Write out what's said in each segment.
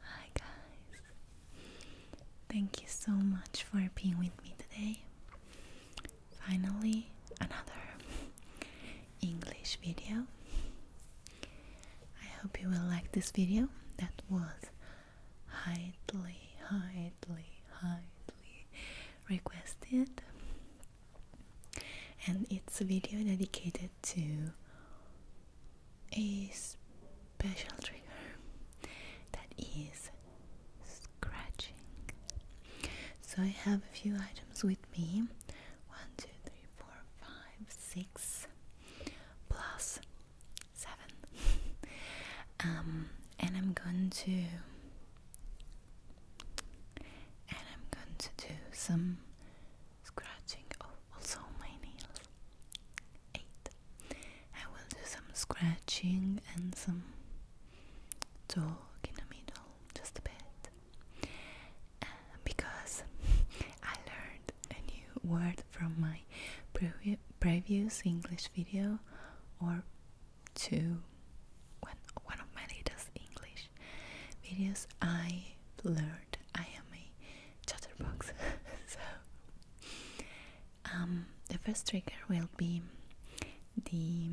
Hi, guys. Thank you so much for being with me today. Finally, another English video. I hope you will like this video. That was highly, highly, highly requested, and it's a video dedicated to a special trigger that is scratching. So I have a few items with me. 1, 7 um, and I'm going to and I'm going to do some scratching of oh, also my nails 8 I will do some scratching and some talk in the middle just a bit uh, because I learned a new word from my previous English video or two one, one of my latest English videos I learned I am a chatterbox so um, the first trigger will be the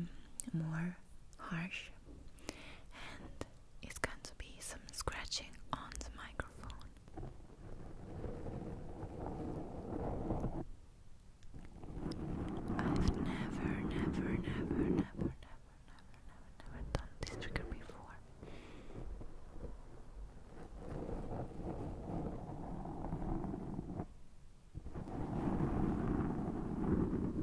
more harsh is going to be some scratching on the microphone. I've never, never, never, never, never, never, never, never done this trigger before.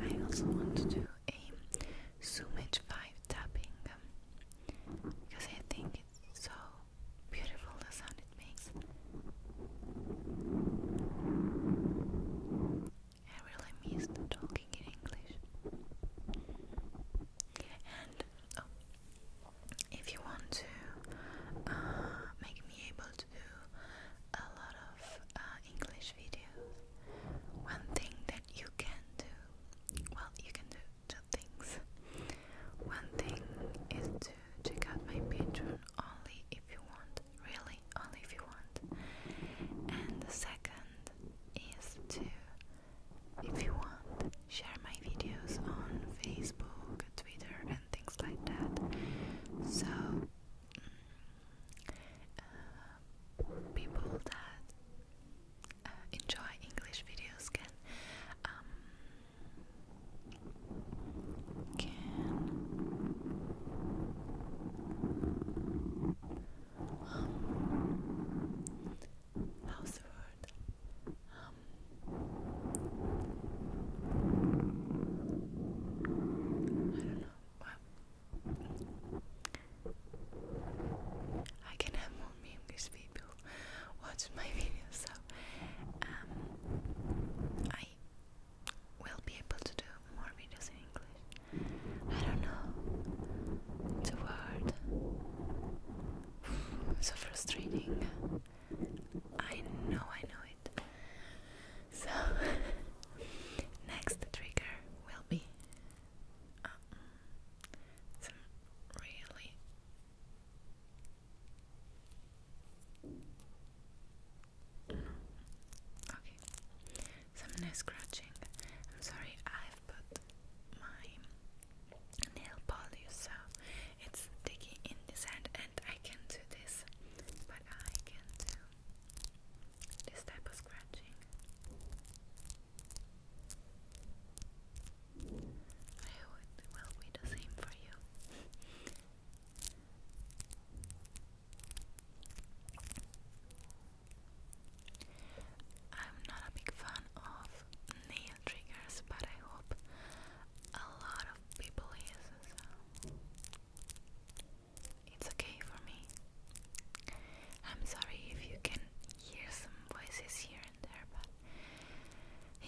I also want to do a Sumit 5 tapping um, because I think it's so beautiful the sound it makes. I really miss talking in English. And Oh. If you want to uh, make me able to do a lot of uh, English videos, one thing that you can do, well, you can do two things. One thing is to check out my Patreon only if you want, really, only if you want. And the second is to if you want, share my videos on Facebook, Twitter, and things like that. So mm, uh, people that uh, enjoy English videos can um, can um, how's word? Um, I don't know. I can have more memes people watch my videos so um, I will be able to do more videos in English. I don't know the world. so frustrating. I know, I know it. So, next trigger will be um, some really okay. Some nice scratching. I'm sorry, I put my nail polish, so it's sticky in this hand, and I can do this, but I can do this type of scratching. it will be the same for you. I'm not a big fan of nail triggers, but I hope a lot of people use it's okay for me. I'm sorry if you can hear some voices here and there, but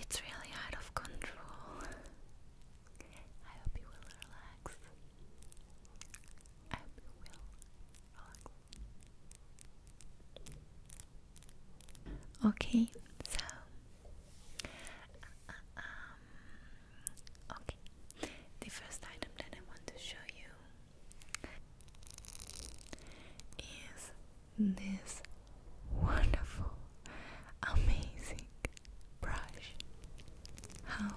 it's really out of control. I hope you will relax. I hope you will Okay, so uh, uh, um, okay, the first item that I want to show you is this wonderful, amazing brush. How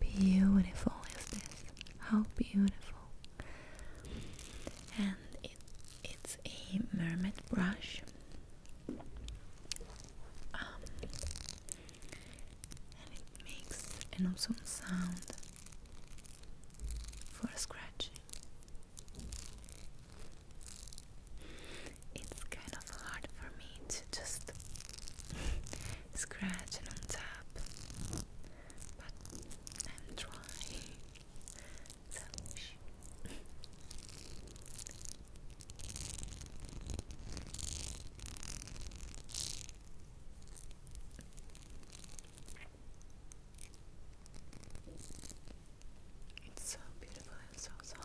beautiful is this? How beautiful and it, it's a mermaid brush. Um, and it makes an awesome sound for scratching. It's kind of hard for me to just scratch and on but I'm trying. So shh. It's so beautiful and so soft.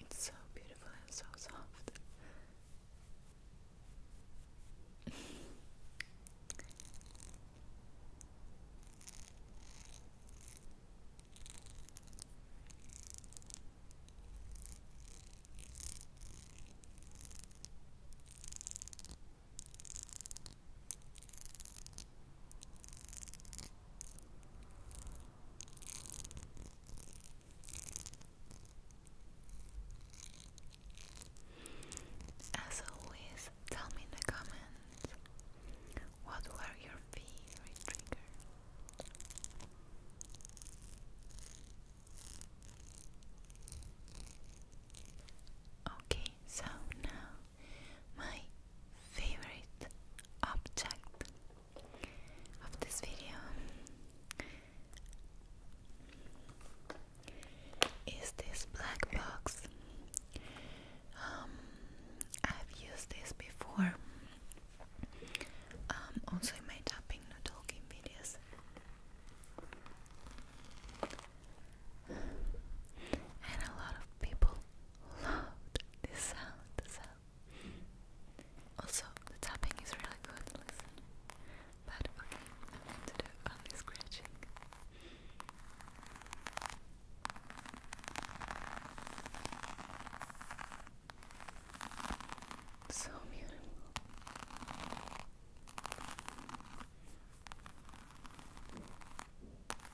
It's so beautiful and so soft. As always, tell me in the comments what were your favorite trigger. Okay, so now my favorite object of this video is this black box. Um, I've used this before, um, also in my tapping, no talking videos and a lot of people loved this sound. Also, the tapping is really good. Listen, but okay, I'm going to do only scratching. So beautiful.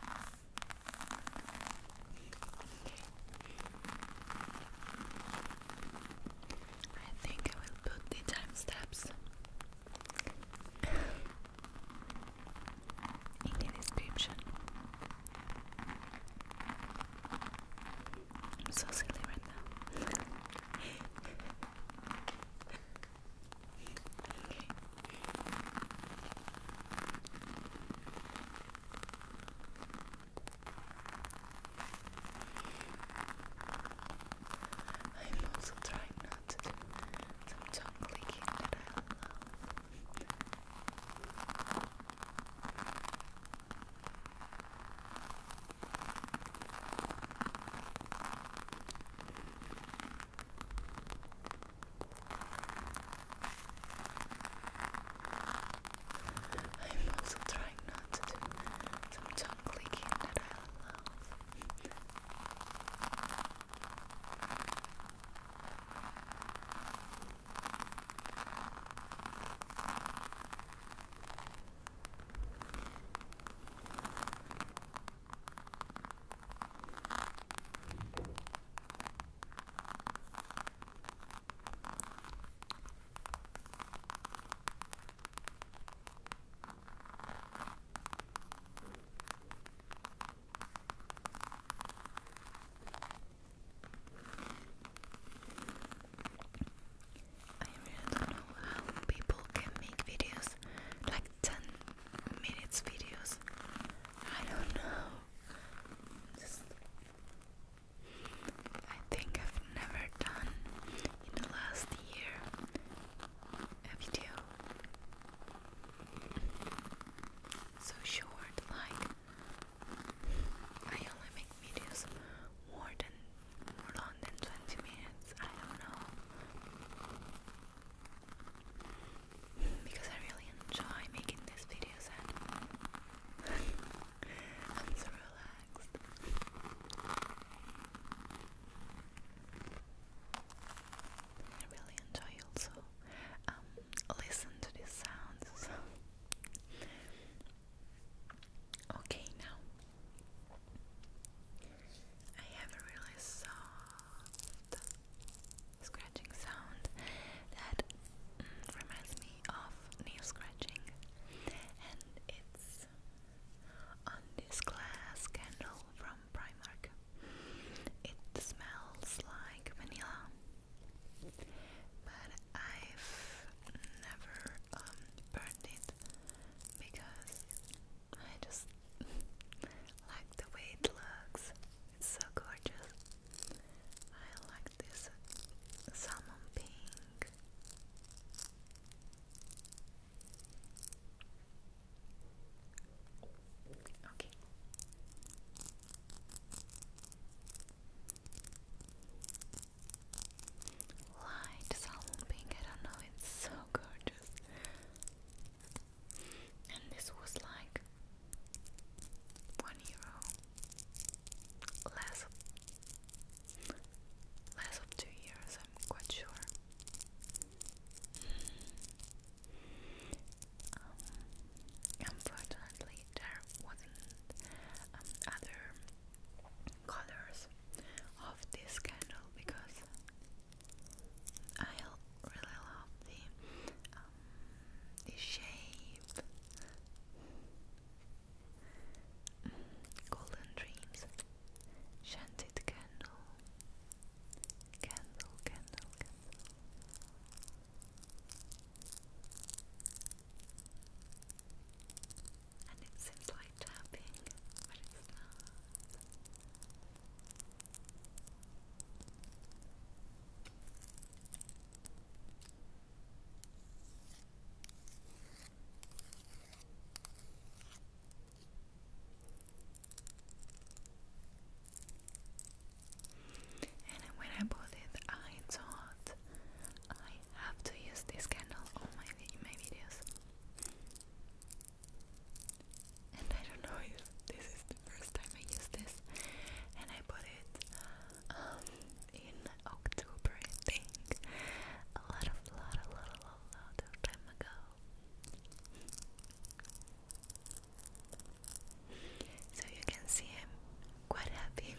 I think I will put the time steps in the description. I'm so silly right now. I'm also trying not to do some tongue clicking that I'm also trying not to do some tongue clicking that I really don't know how people can make videos like 10 minutes videos. I don't know. Just, I think I've never done in the last year a video so short. Like I only make videos more than more long than twenty minutes. I don't know because I really enjoy making these videos and I'm so relaxed. I really enjoy also um, listen to these sounds. Okay, now I have a really soft scratching sound that mm, reminds me of nail scratching, and it's on this glass candle from Primark. It smells like vanilla, but I've never um, burned it because I just like the way it looks. It's so gorgeous. I like this salmon pink. Okay. Light salmon pink. I don't know. It's so gorgeous and this was like one euro less less of two years I'm quite sure um, unfortunately there wasn't um, other colors of this candle because I really love the uh, the shape. golden dreams, scented candle, candle, candle. And it seems like tapping, but it's not. And when I bought it, I thought I have to use this candle on my, my videos and I don't know if this is the first time I use this and I bought it um, in October I think a lot of lot a lot a lot, lot of time ago so you can see I'm quite happy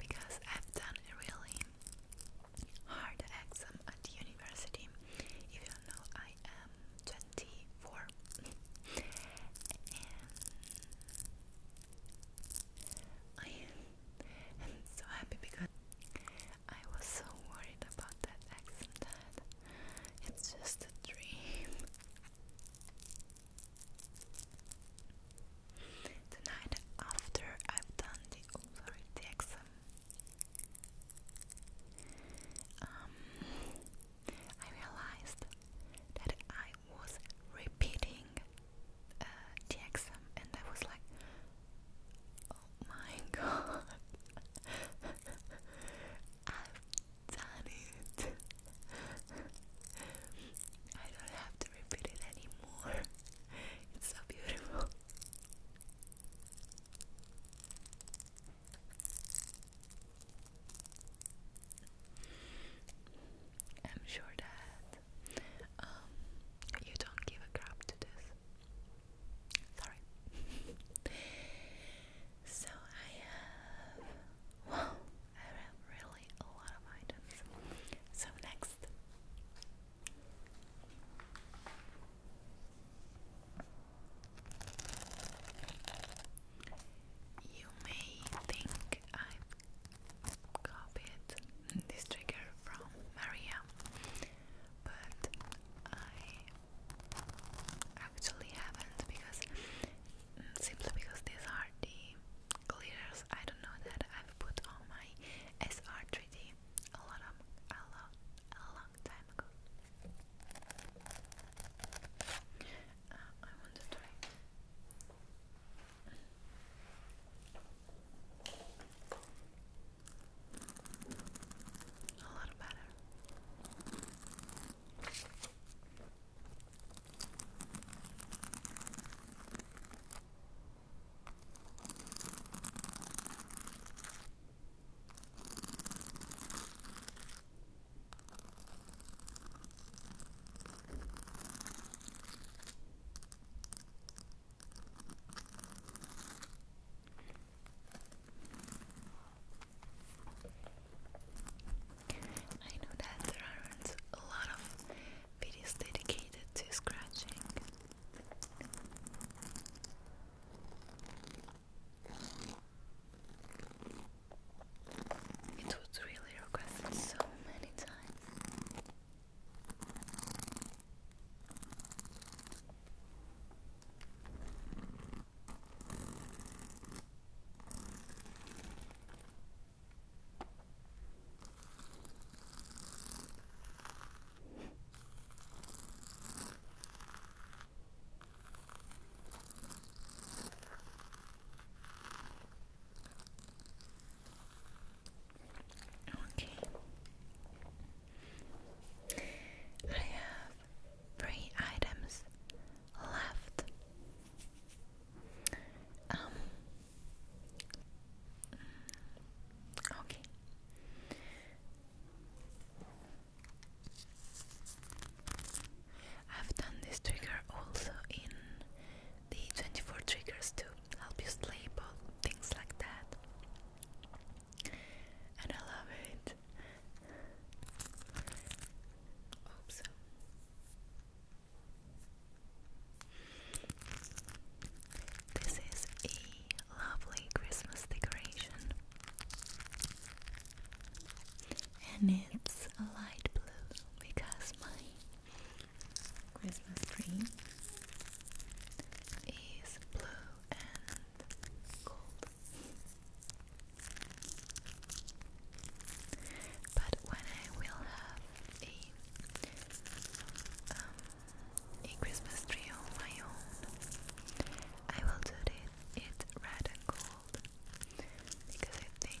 because I've done a really hard exam at university even though I am 24 and I am so happy because I was so worried about that accent that it's just a dream tonight after I've done the, oh sorry, the I realized that I was repeating uh, the exam, and I was like, "Oh my god, I've done it! I don't have to repeat it anymore. It's so beautiful." I'm sure that um, you don't give a crap to this. Sorry. so I have. Wow, I have really a lot of items. So next. You may think I've copied this trigger from Maria, but I actually haven't because mm, simply because these are the glitters I don't know that I've put on my SR3D a lot a lot a long time ago. Uh, I want to try. A little better. I know that there aren't a lot of videos dedicated to scratching. It was really requested so many times. Okay. I have three items left. Um, okay. I've done this trigger also in the 24 triggers to help you sleep or things like that. And I love it. Hope This is a lovely Christmas decoration and it's a light blue because my Christmas tree is blue and gold. But when I will have a um, a Christmas tree of my own, I will do it, it red and gold because I think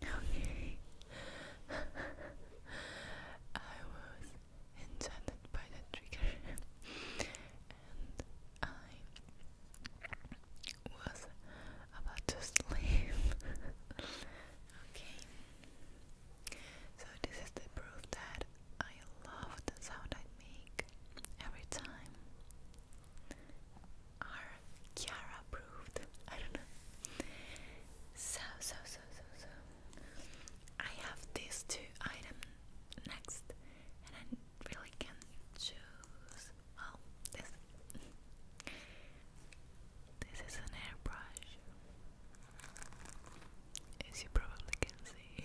Okay. I was enchanted by the trigger and I was about to sleep. okay. So this is the proof that I love the sound I make every time are Chiara approved. I don't know. So, so, so, so, so. I have these two items next, and I really can choose. Well, this. This is an airbrush, as you probably can see.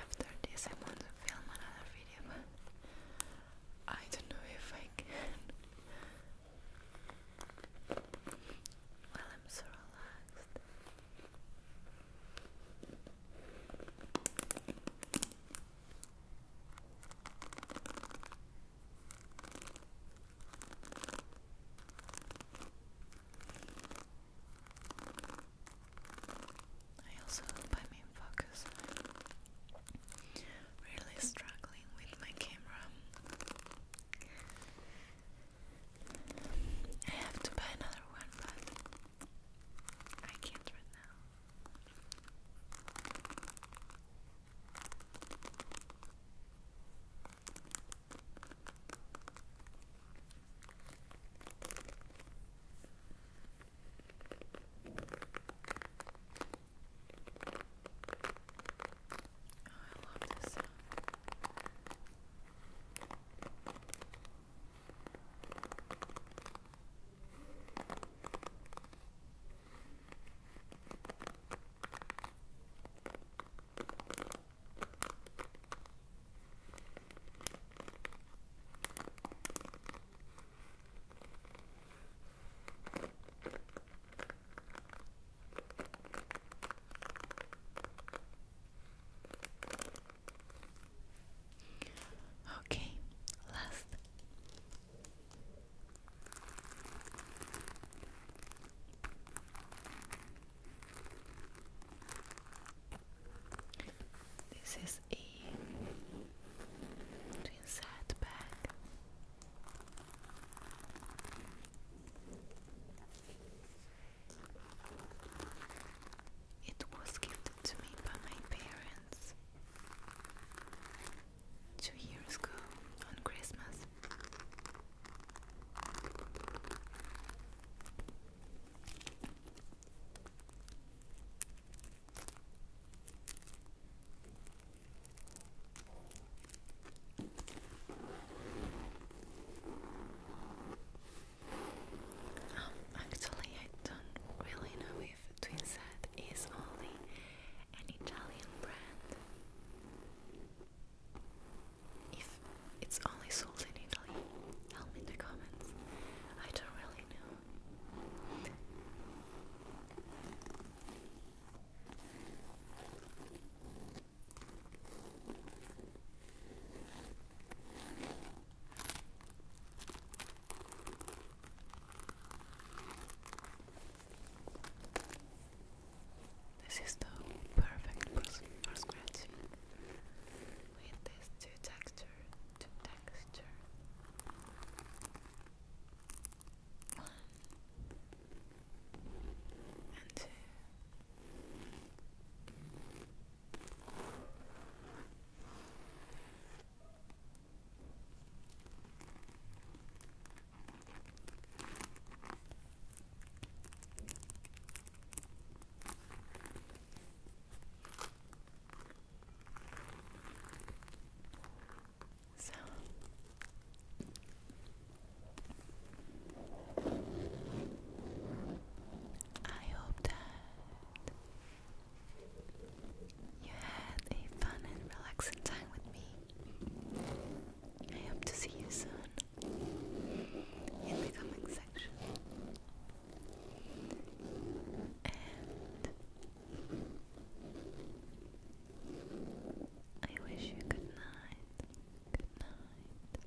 After this, I want to film another video, I don't know if I can. Well, I'm so relaxed. I also hope I'm in focus. i really struggling with my camera. I have to buy another one, but I can't right now. Oh, I love this sound. I Okay, last. This is a twin side bag. It was gifted to me by my parents two years ago on Christmas. Um, actually, I don't really know if Twinset is only an Italian brand. If it's only sold in Italy, help me in the comments. I don't really know. This is the perfect person for scratching with these two texture, two texture. One and two. I hope that you had a fun and relaxing time with me. I hope to see you soon in the coming section. I wish you good night. Good night.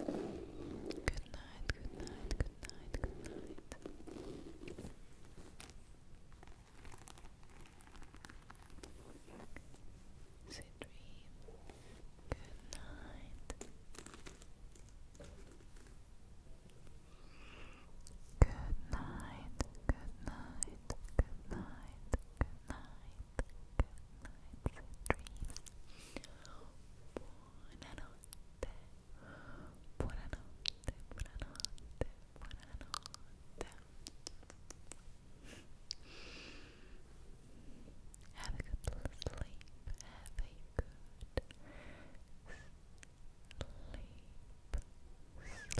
Good night. Good night. Good night. Good night. Good night. Sweet dream. Good night. Good night. Good night. Good night. Good night. Good night. Sweet dream. Buonanotte. Buonanotte. Buonanotte. Buonanotte. Have a good sleep. Have a good sleep. Sleep. Sleep.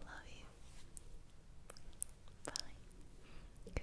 Love you. Bye. Good night. Que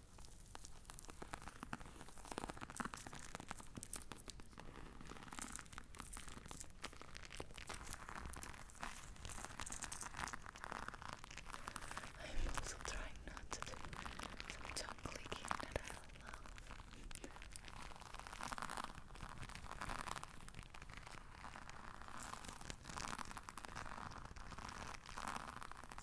I'm also trying not to do some tongue clicking that I love.